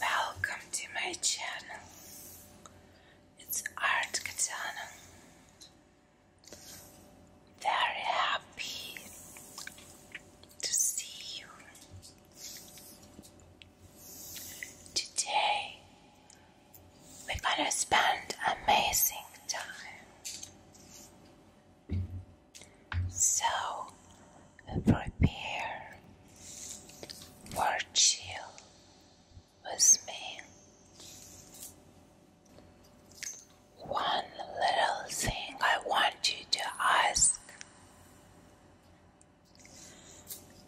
Welcome to my channel. It's Art Katana. Very happy to see you. Today we're gonna spend amazing time. So prepare for chill with me. One little thing I want you to ask.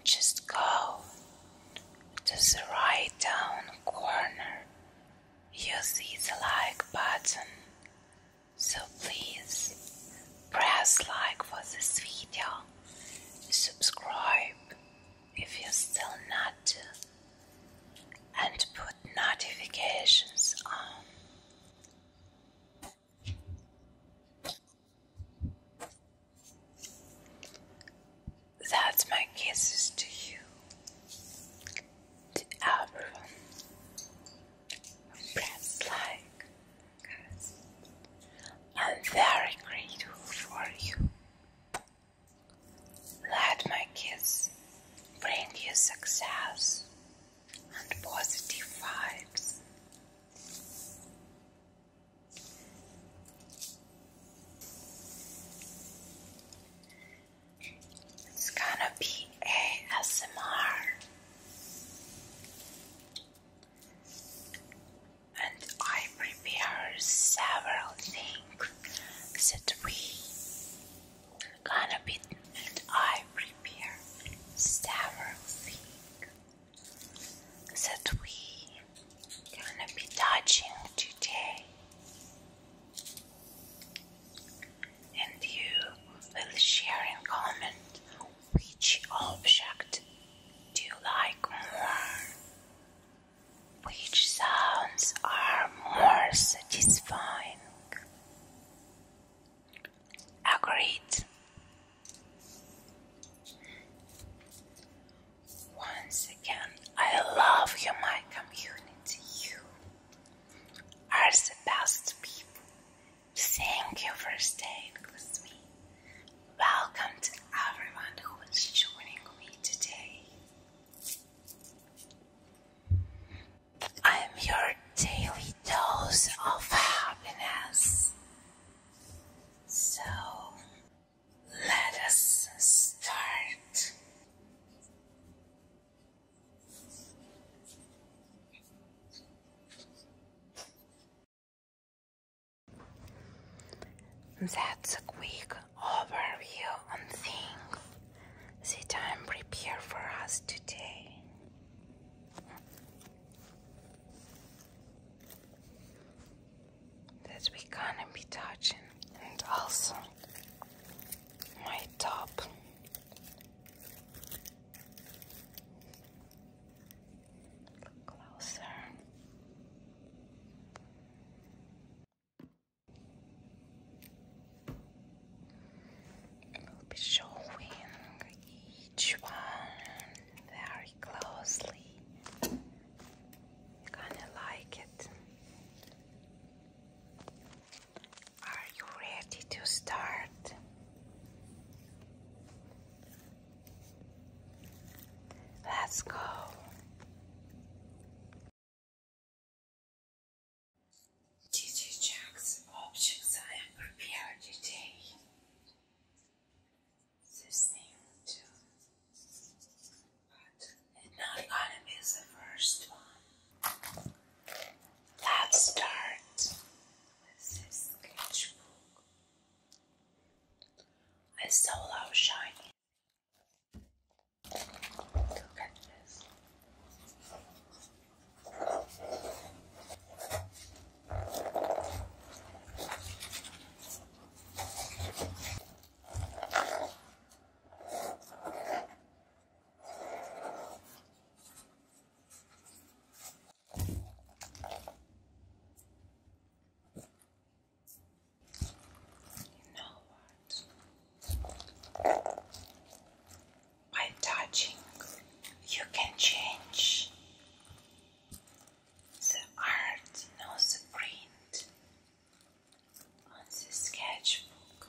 Just go to the right down corner. You see the like button so please press like for this video, subscribe if you're still not, and put notifications on. That's my kisses to you, to everyone friends like I'm very grateful for you. Let my kids bring you success and positive vibes. It's gonna be ASMR. And I prepare several things that we gonna be and I prepare several things that we gonna be touching today and you will share and comment which object do you like more? Which sounds are more satisfying? Agreed. Once again, I love you, my community. You are the best people, Thank you for staying with me. Welcome to everyone who is joining me today. I'm your daily dose of happiness. So let us start. That's a quick overview on things that I'm prepared for us today. That we gonna be touching and also my top Look closer. We'll be showing each one very closely. You're gonna like it. Are you ready to start? Let's go. Did you objects I have prepared today? The same too. But it's not gonna be the first one. Let's start with this sketchbook. It's so low you know what? By touching, you can change the art, not the print, on the sketchbook.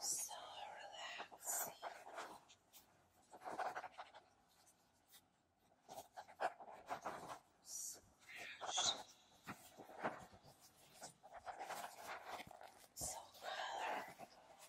So relaxing. Smash. So colorful.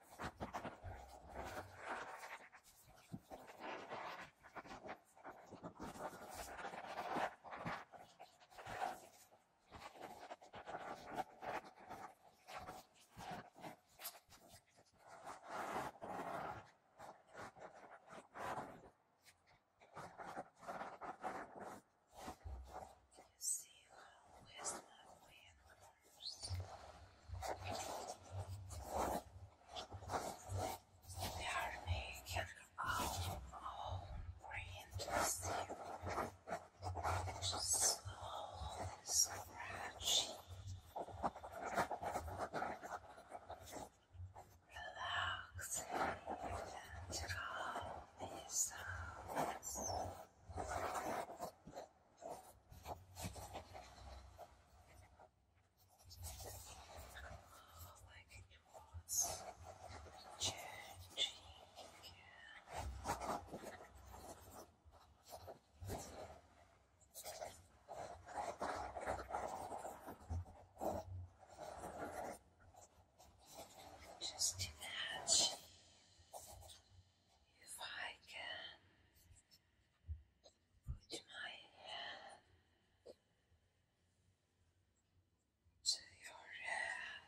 You see how is lovely and the army can out all oriented just slowly scratch. Relax and calm these like it was changing. Just imagine if I can put my hand to your head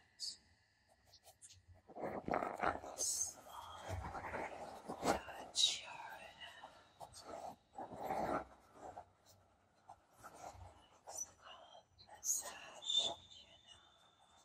and a touch your head. It's called massage, you know.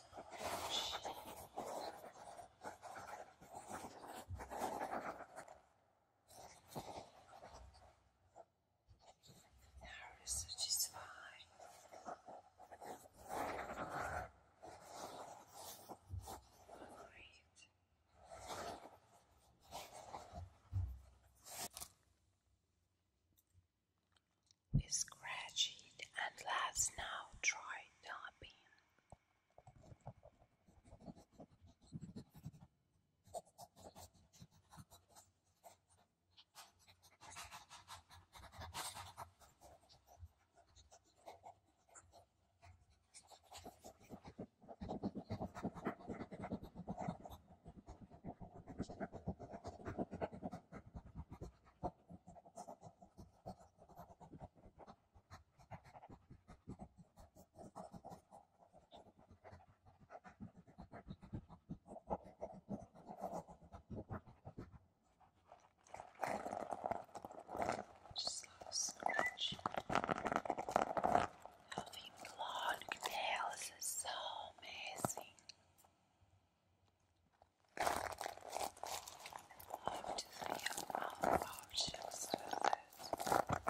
this approach. Now research is fine. Great. We scratch it and let's now try tapping. Just a little scratch. Having long tails is so amazing. Up to three mouth pouches with it. Squish, and then pop it.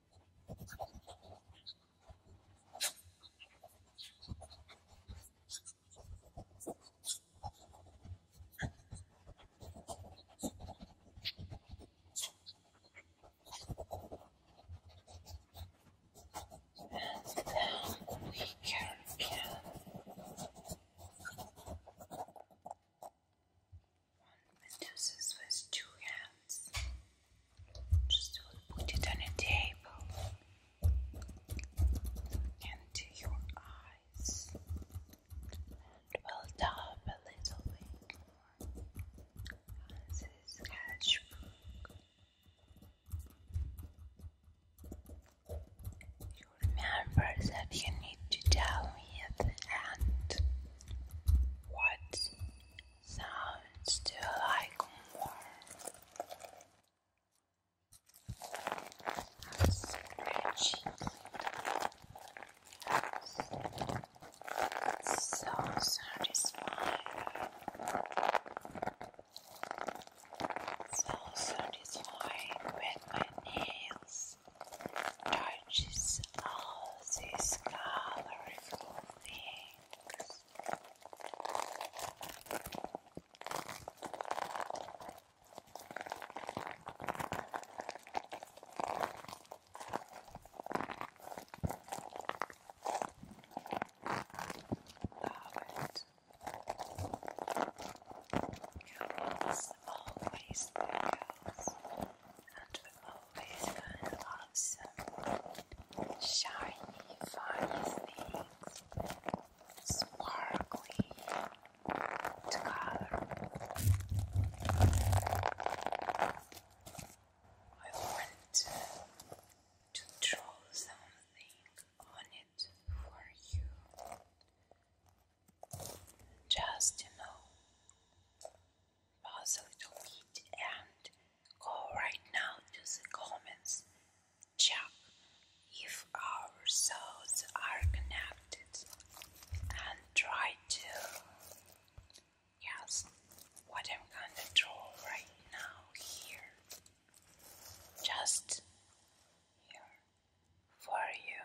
One produces with two hands. Just put it on a table and your eyes and build a little bit more on You remember that you need to tell me at the end what sounds do you like more? Scratching. So satisfying. So satisfying when my nails touches all these colorful things. It's always there, and we always going to shiny, fun sparkly to I want to, draw something on it for you. Just to know Pause a little bit and go right now to the comments. Check if our souls are connected and try to yes what I'm gonna draw right now here just here for you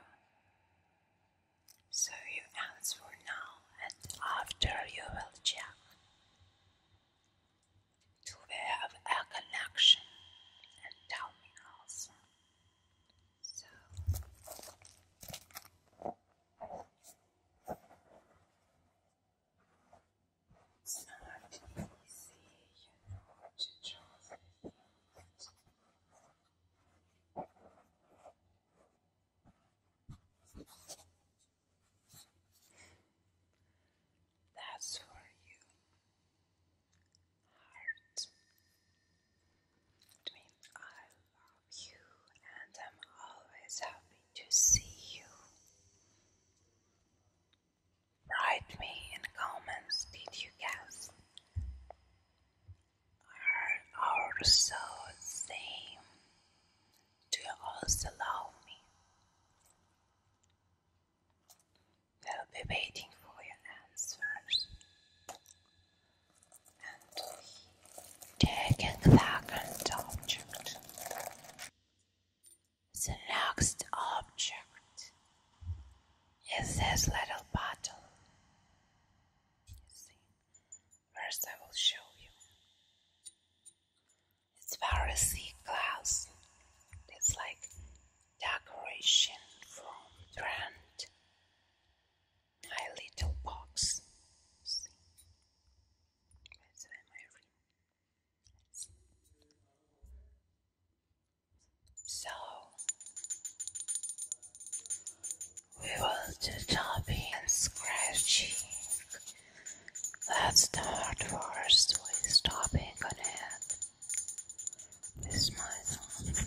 so you answer now and after you will check to have a connection and tell me also. So it's not easy, you know, to draw the that's for you. Heart. I mean, I love you and I'm always happy to see you. Write me in comments, did you guess? Are our souls same? Do you also love me? I'll be waiting for your answers. And he the vacant object. The next object is this little bottle. first I will show you. It's Pharisee glass. It's like decoration from Trent. A little box. So we will do topping and scratching. Let's start first with stopping on it with my thumb.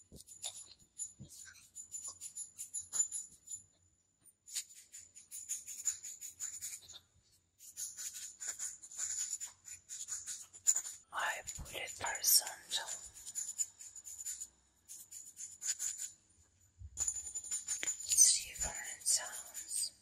I put a percent it's different sounds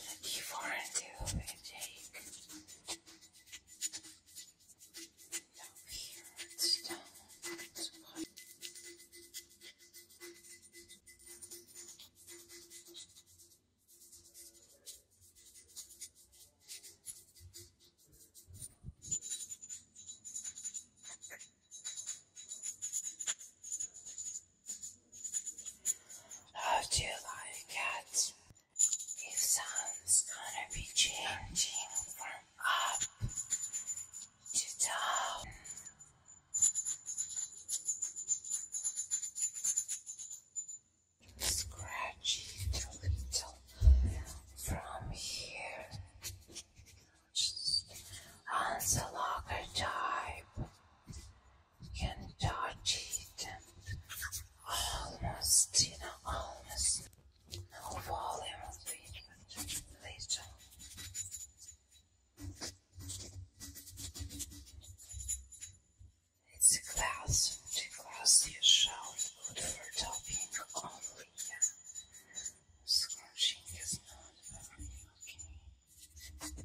Thank you for too, Jake down here, it's down. how do you like it? sun's gonna be changing from up to Scratch it a little from here. Just type. can touch it and almost, you almost. Overall, I will do It's a glass. The glass you shout good for topping only. Scrunching is not very okay.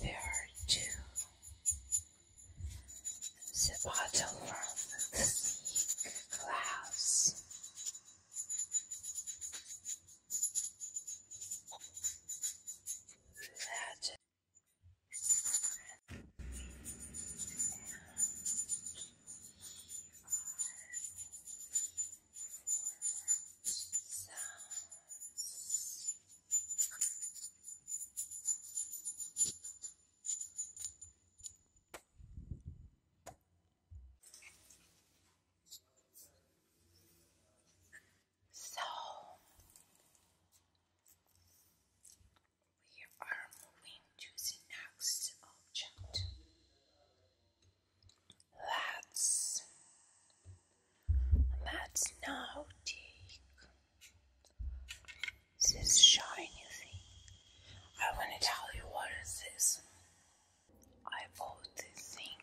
there are two the bottom from the sea clouds. That sounds. So we are moving to the next object. let that's naughty. take this shiny thing. I wanna tell you what is this. I bought this thing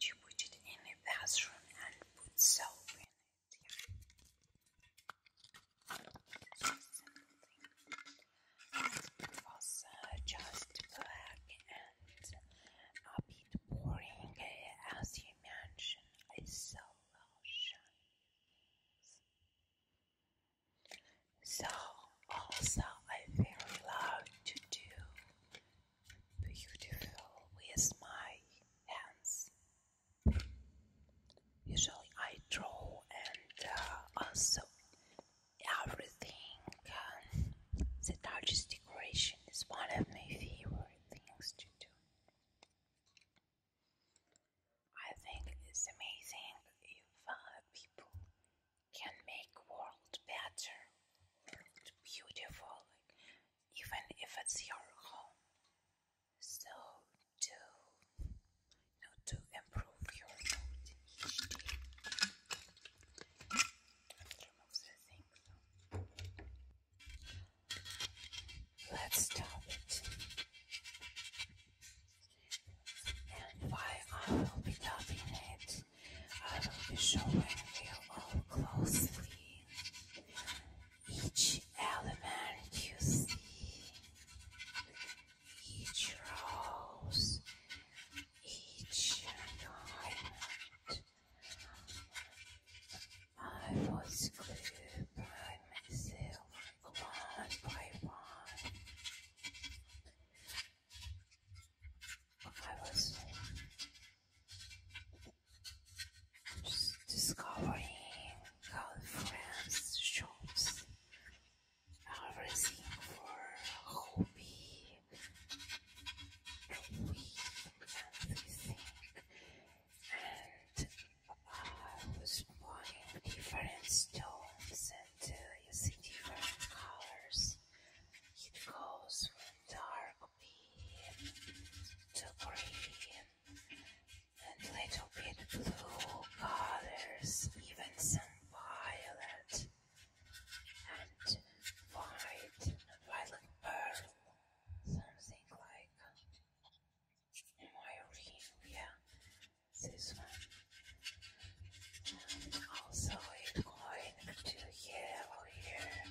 to put it in a bathroom and put soap in it. Yeah. It was uh, just black and a bit boring uh, as you mansion is so also, I very love to do beautiful with my hands. Usually, I draw and uh, also everything. Um, the largest decoration is one of my favorite things to do. I think it's amazing if people can make world better, world beautiful, even if it's your home. So to you improve your mood each day. Remove the thing. Let's stop it. And while I will be it, I will be showing you all closely each element you see, each rose, each diamond. I was good by myself, one by one. I was just discovering girlfriends, shops, everything for hobby, a week everything and I was buying different stones and uh, you see different colors. It goes from dark green to green and little bit blue colors, even some violet and white, violet pearl something like my this one. also, it's going to yellow here,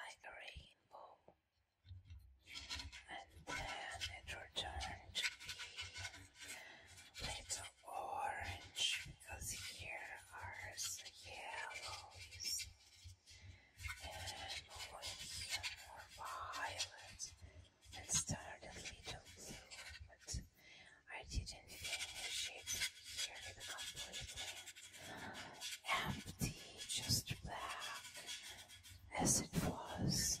like a rainbow, and then it returns to be little orange because here are yellows and over here more violet and started little blue, but I didn't finish it here it completely empty, just black as it was.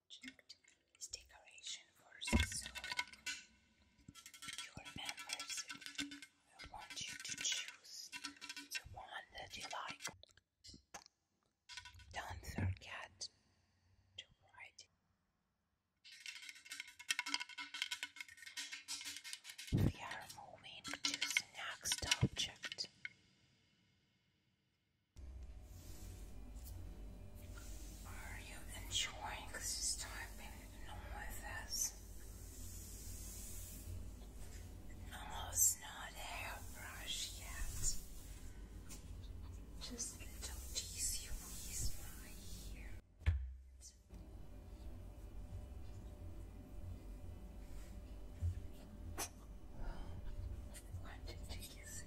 project decoration for the soul. I want you to choose the one that you like. Don't forget to write We are moving to the next object. Are you enjoying this time being along with us? No, hairbrush yet. Just little tease you with wanted to kiss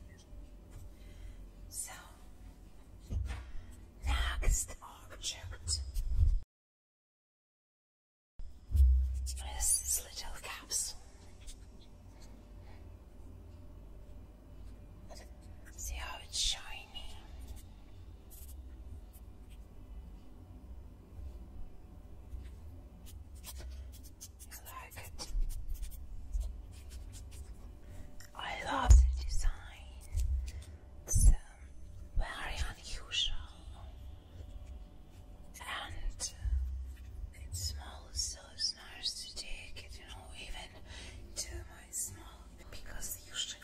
So, next object this little capsule. See how it's shiny. You like it? I love the design. It's um, very unusual. And uh, it smells so nice to take it, you know, even to my small. Because usually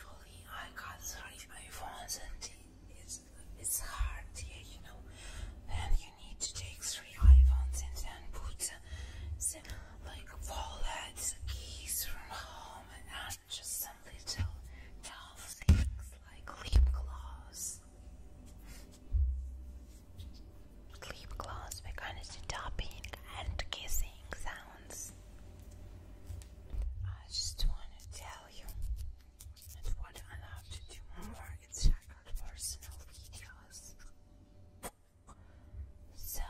I got three my phones and it's, it's hard, yeah, you know. Then you need to take three iPhones and then put some like wallets, keys from home, and just some little dull things like lip gloss. Lip gloss, we're to do tapping and kissing sounds. I just wanna tell you that what I to do more her personal videos. So,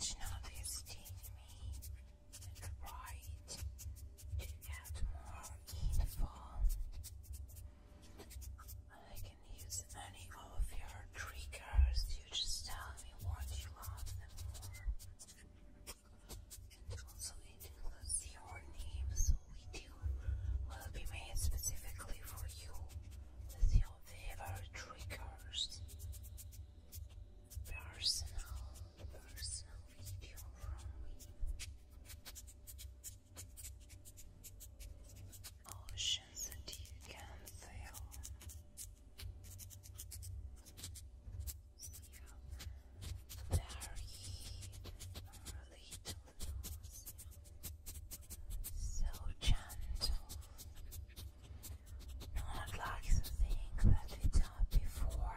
Shinobi has taken me the right to get more info. I can use any of your triggers, you just tell me what you love And also, it your name, so we stew will be made specifically for you with your favorite triggers. Personal, personal video from me. Oceans that you can sail. Yeah. There are little so gentle, not like the thing that we done before.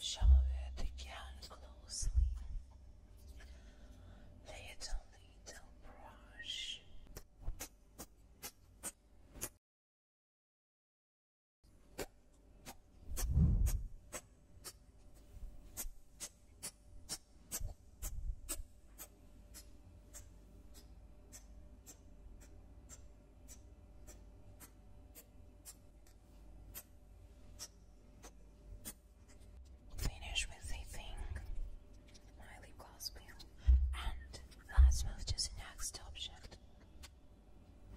Show her the closely. Lay it on the little brush. Finish with a thing, my lip gloss peel, and let move to next option.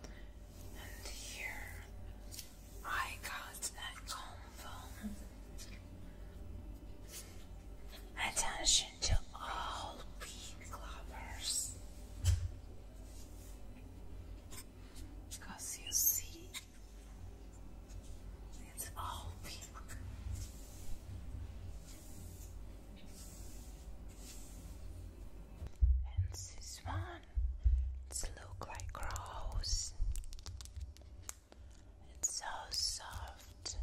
And here I got a comb Attention to all pig lovers. Because you see, it's all pink. And this one, it's look like rose. It's so soft.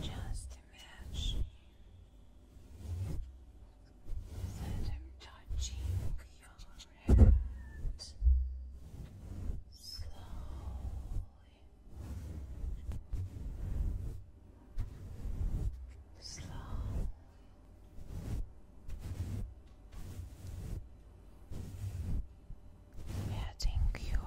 Just imagine that I'm touching your out slowly. Slow. Getting you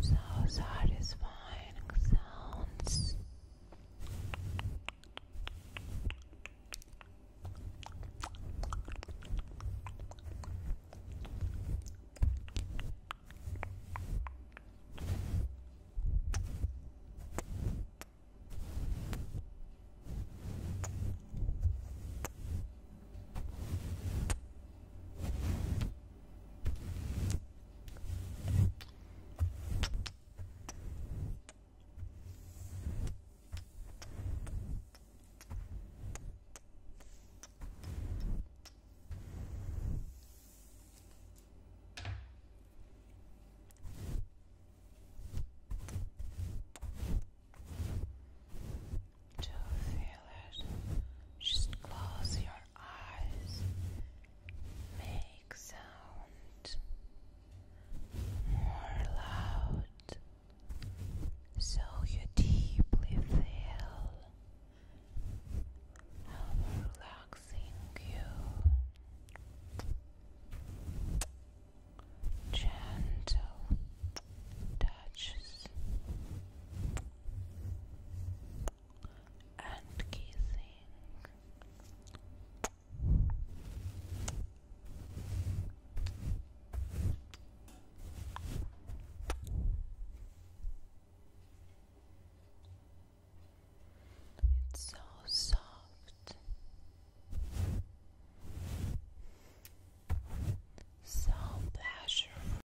so satisfying sounds. Good. Do you feel it? Just close your eyes make sound more loud so you deeply feel how relaxing you gentle touches and kissing. It's so soft, so pleasurable.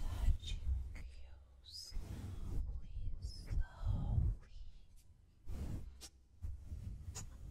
Touching you slowly, slowly. Thank you.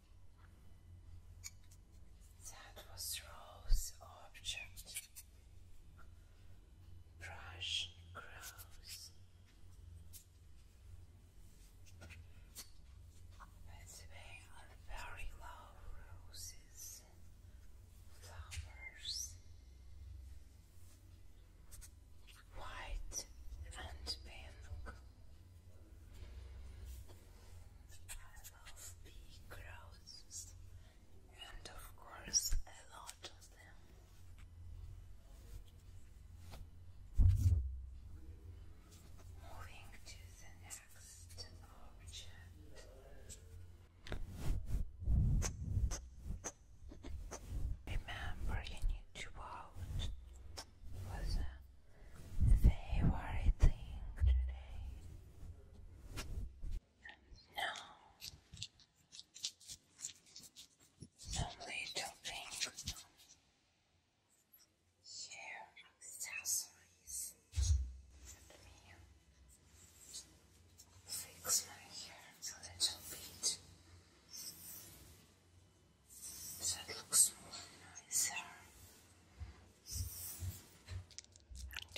That was Rose's object. Brush grows. Let's bang on very low roses flowers. White and pink. I love big crowds, and of course, a lot of them. Moving to the next object. Remember, you need to vote favorite thing today. No, some little thing here, accessories. Let me fix my hair a little bit. That looks more nicer. And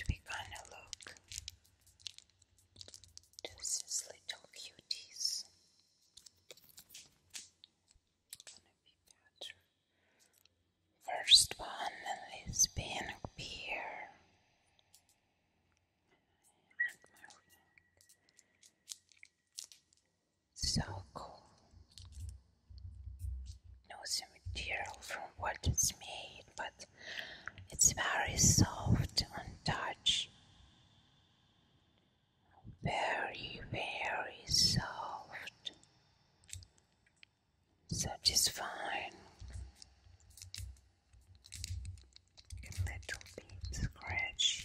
we gonna look to these little cuties. First one is being a beer. So cool knows the material from what it's made, but it's very soft on touch. Very, very soft. Satisfying. A little bit scratchy.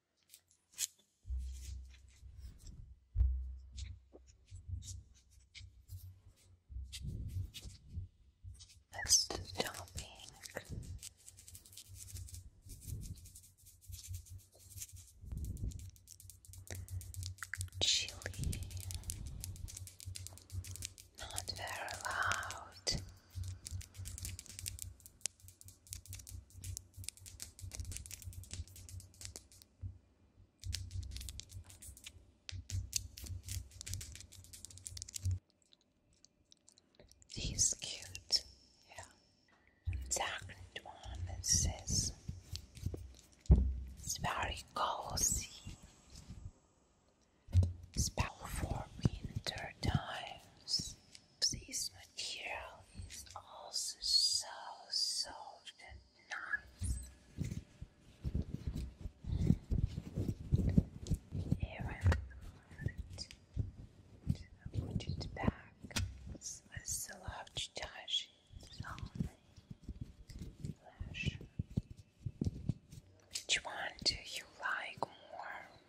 That's the topic. not very loud. He's cute, yeah. second one it says it's very cozy. It's for winter times. This material is also so soft and nice. Here I put it back a large touch on the Which one do you like more?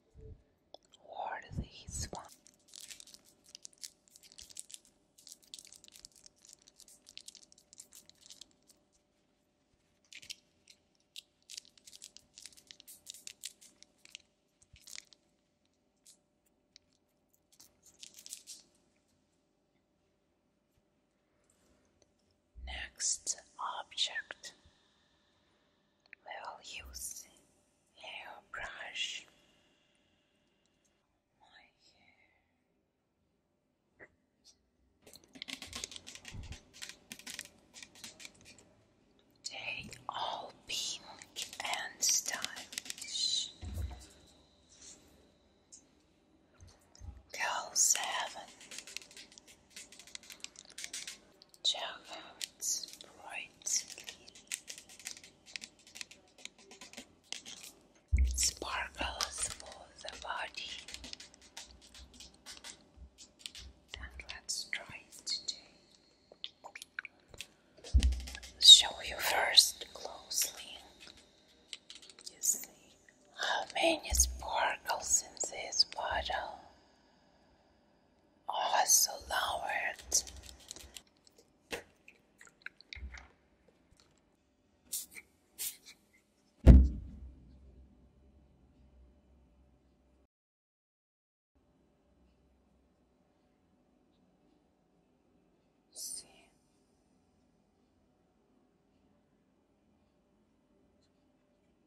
Worthy Swan. Next object, we'll use hairbrush. My hair. Take all pink and stylish. Girl seven Juggled brightly, sparkles for the body. And let's try it Show you first closely. You see how many sparkles in this bottle also oh, lowered. See?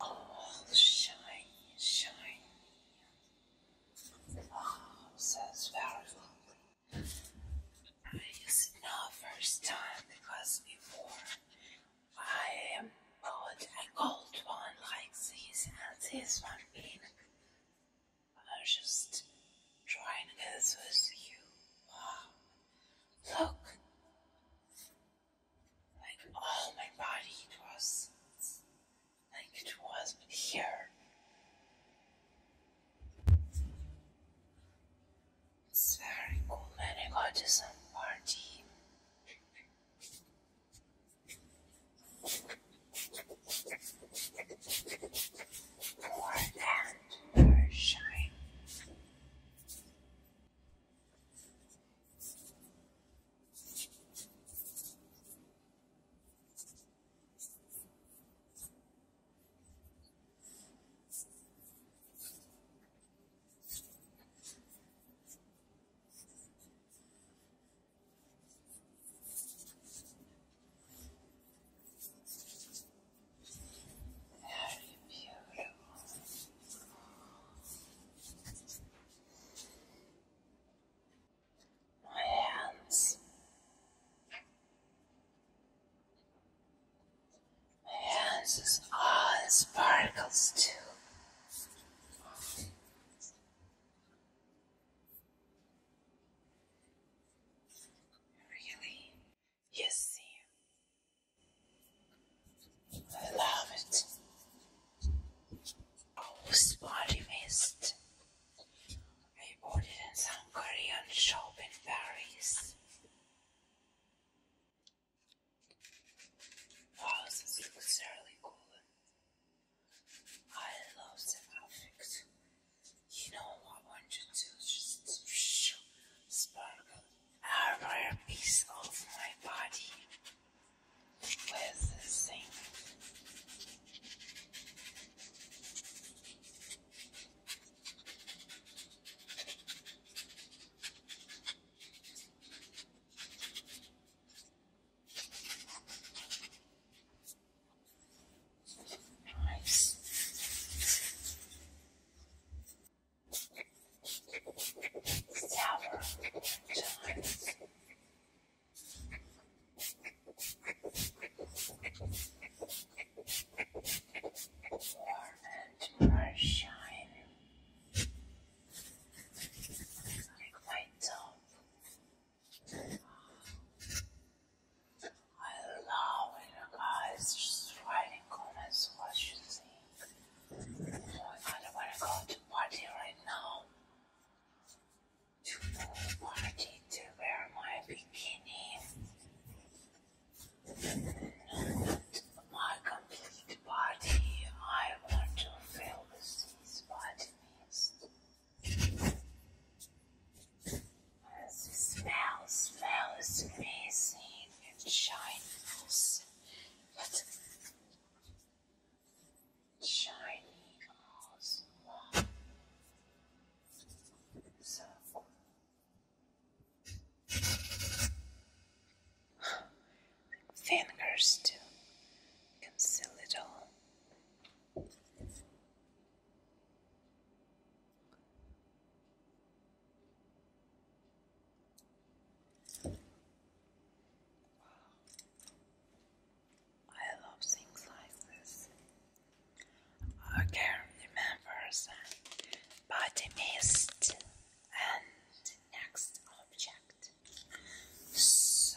Oh, shiny, shiny. Wow, sounds very lovely. I use it now first time because before I bought a gold one like this and this one pink. I was just trying to get this with you. Look. Like all my body it was like it was here. It's very cool when I got to some party for them to shine. Very beautiful. My hands. My hands is all sparkles too. Really you see, I love it. Oh, spotty mist. I bought it in some Korean shop in Paris. Wow, this looks I love the effect. You know, what I wanted to just sparkle every piece of my body with this Nice. Tower times. Warm and shine. Like my top. I love when you guys write in comments what you think. I kind of want to go to party right now. To party to wear my bikini. No, not my complete party. I want to fill with these vitamins. Smell, smell is amazing and shine also. But shiny also. So Fingers to conceal it all. I love things like this. I can remember the body mist and next object. So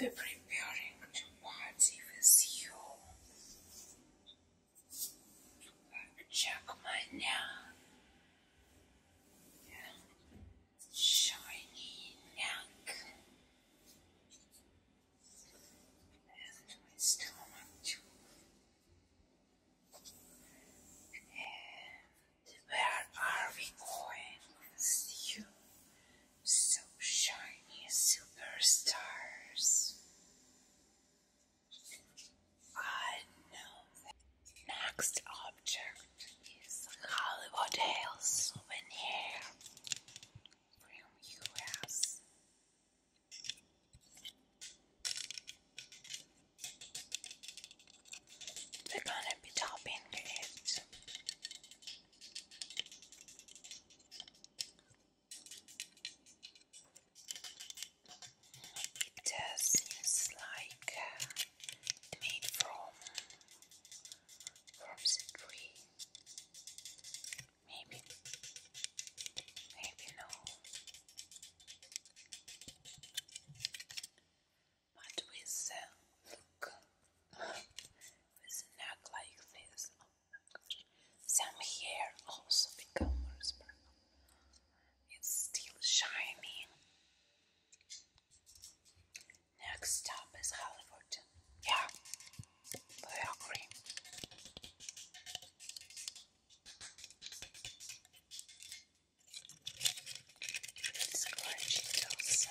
we're preparing to party with you. Check my now. Shiny neck. And my stomach And where are we going? See so shiny superstars. I know next object is Hollywood souvenir from US. We're gonna be topping it it seems like uh, made from from tree. Maybe, maybe no. But with uh, look, with a like this. Some hair also become more sparkle. It's still shining. Next stop is Hollywood. Yeah, they agree. It's gorgeous also.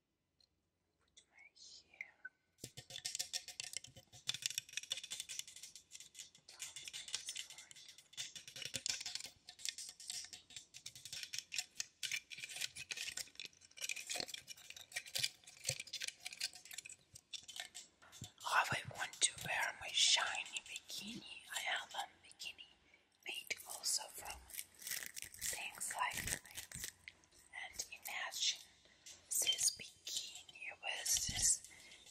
put I want to wear my shiny bikini. I have a bikini made also from things like and imagine this bikini with this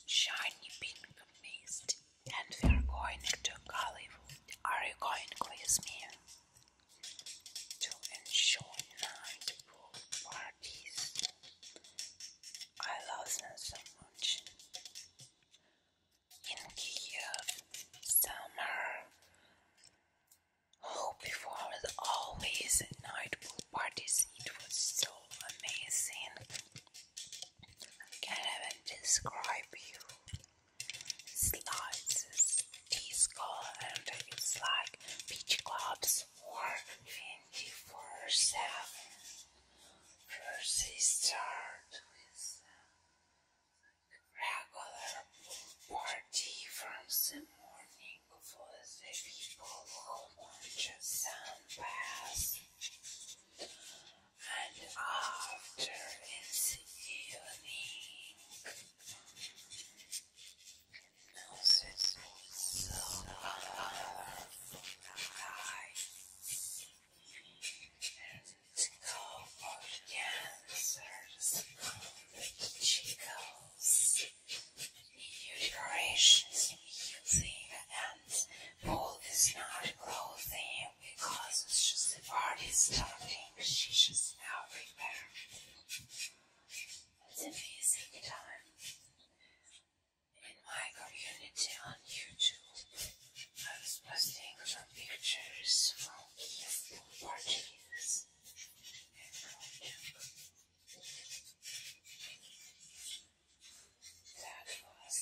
shiny pink mist and we're going to Hollywood. Are you going with me? To enjoy night pool parties. I love them so much. In Kiev, summer Oh, before always night pool parties, it was so amazing. can't even describe you. Slides, disco, and it's like beach clubs or 24 7. First, it with regular party from the morning for the people who want to sunbath. And after in the evening, this was so colorful night. And go for dancers. Chicos, decorations music and Paul is not clothing because it's just the party starting. She's just now prepared. It's amazing time. In my community on YouTube, I was posting some pictures from Kiev parties. That was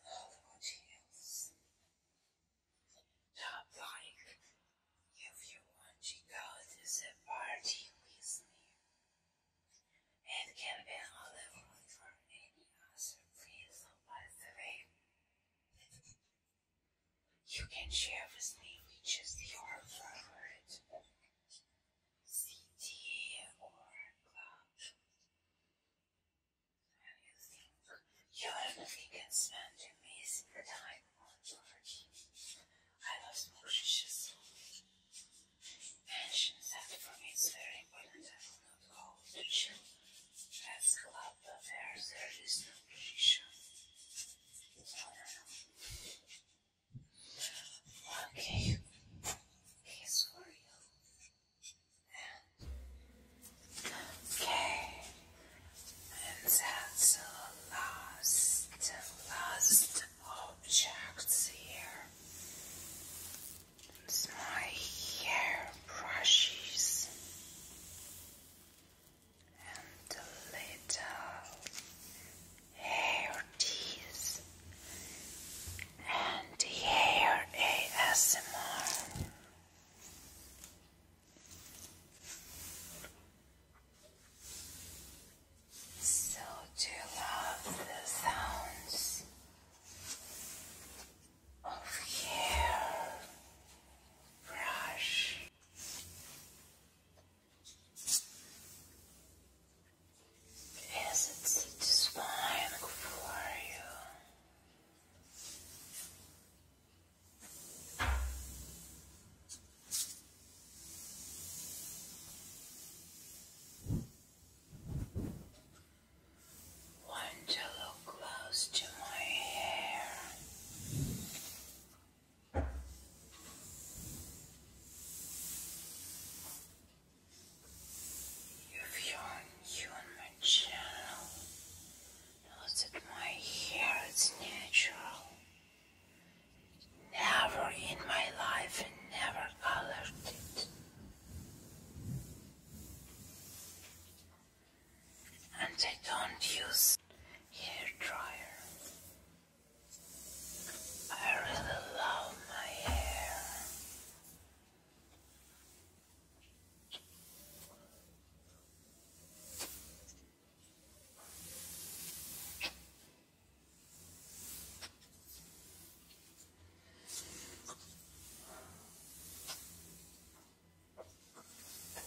horrible tales. Not like if you want to go to the party with me. It can be all for any other reason, by the way. You can share with me which is your favorite city or club. you think you can spend amazing time on I love smoke Mention that for me it's very important I will not go to chill that's club where there is no shisha. Okay. Here's for you. Okay. And that's the last, last object here. It's my hair brushes and the little hair teeth and hair ASMR. So do love the sounds of hair brush Yes, it's, it's fine for you. Want to look close to my hair? If you are new on my channel, notice my hair is natural. Never in my life never colored it. And I don't use hair dryer. I really love my hair.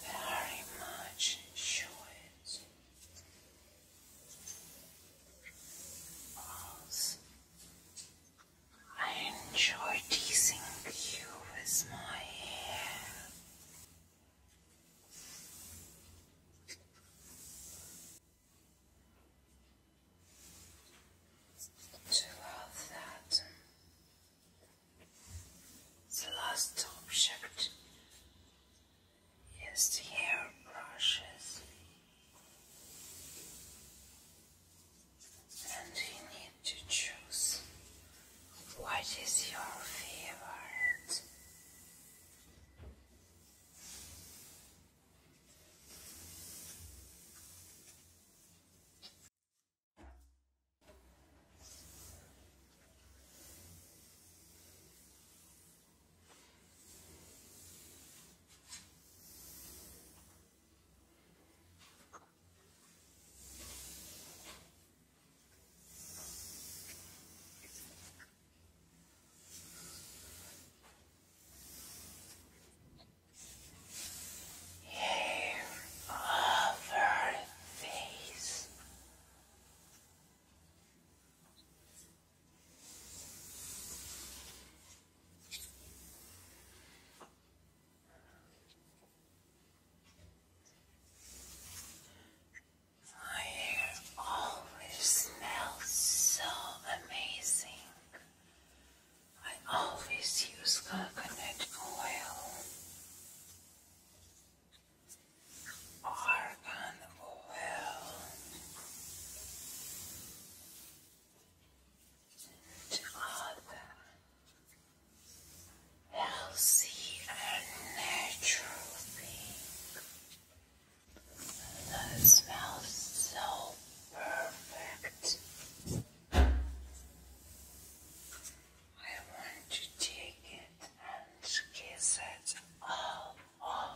Very much enjoy I enjoy teasing you with my hair. To love that. The last object used the hairbrushes, and you need to choose what is your favorite. Over face my hair always smells so amazing. I always use coconut oil are unwell to other healthy and natural being. That smells so perfect. I want to take it she kisses it all over.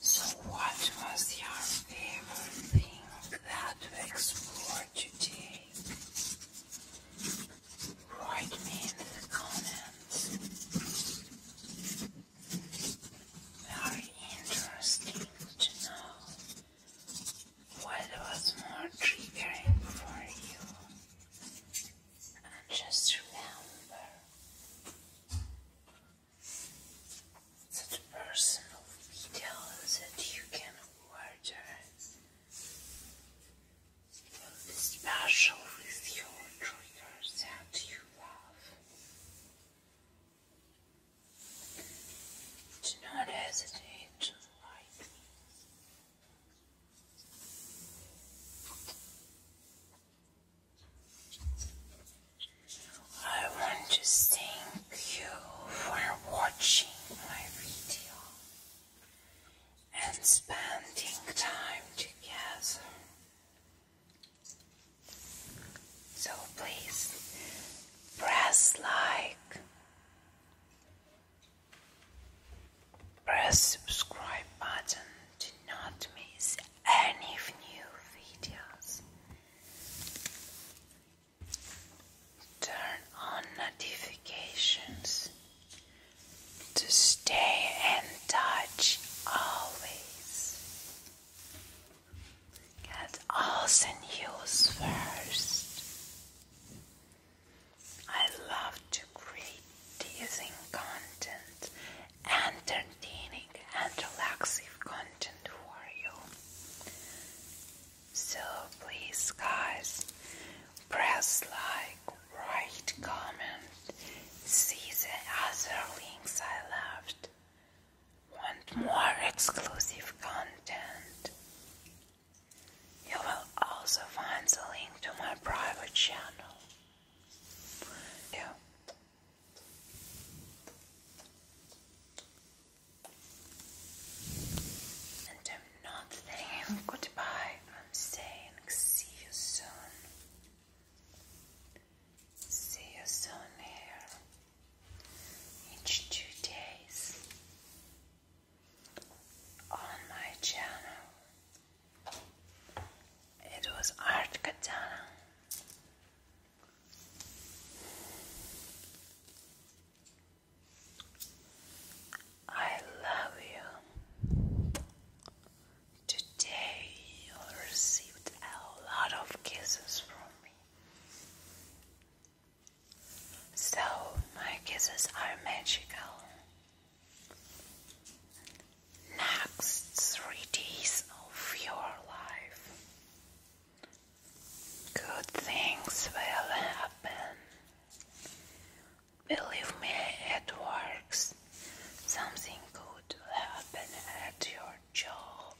So, what was your favorite thing that we explored today? Write me in the comments. Very interesting to know what was more triggering for you and just remember that personal video that you can order special with your triggers that you love. Do not hesitate to like I want to thank you for watching my video and spending time together. So please press like Press subscribe button to not miss any new videos. Turn on notifications to stay in touch always. Get all the news first. I love to create teasing content, entertaining and relaxive content for you. So please guys, press like, write comment, see the other links I left. Want more exclusive content? You will also find the link to my private channel yeah. And I'm not saying goodbye, I'm saying see you soon. See you soon here. Each two days on my channel. It was art katana. I love you. Today you received a lot of kisses from me. So, my kisses are magical. Next three days of your life. Good things will happen. Believe me, it works. Something good will happen at your job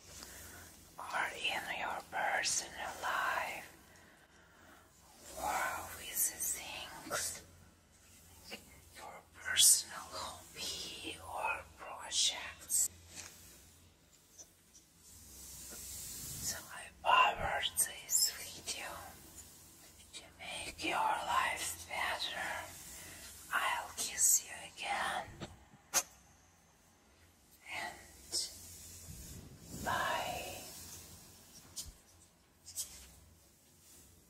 or in your personal life. Wow, with things your personal hobby or projects. So I powered this video to make your life better. I'll kiss you again. And bye.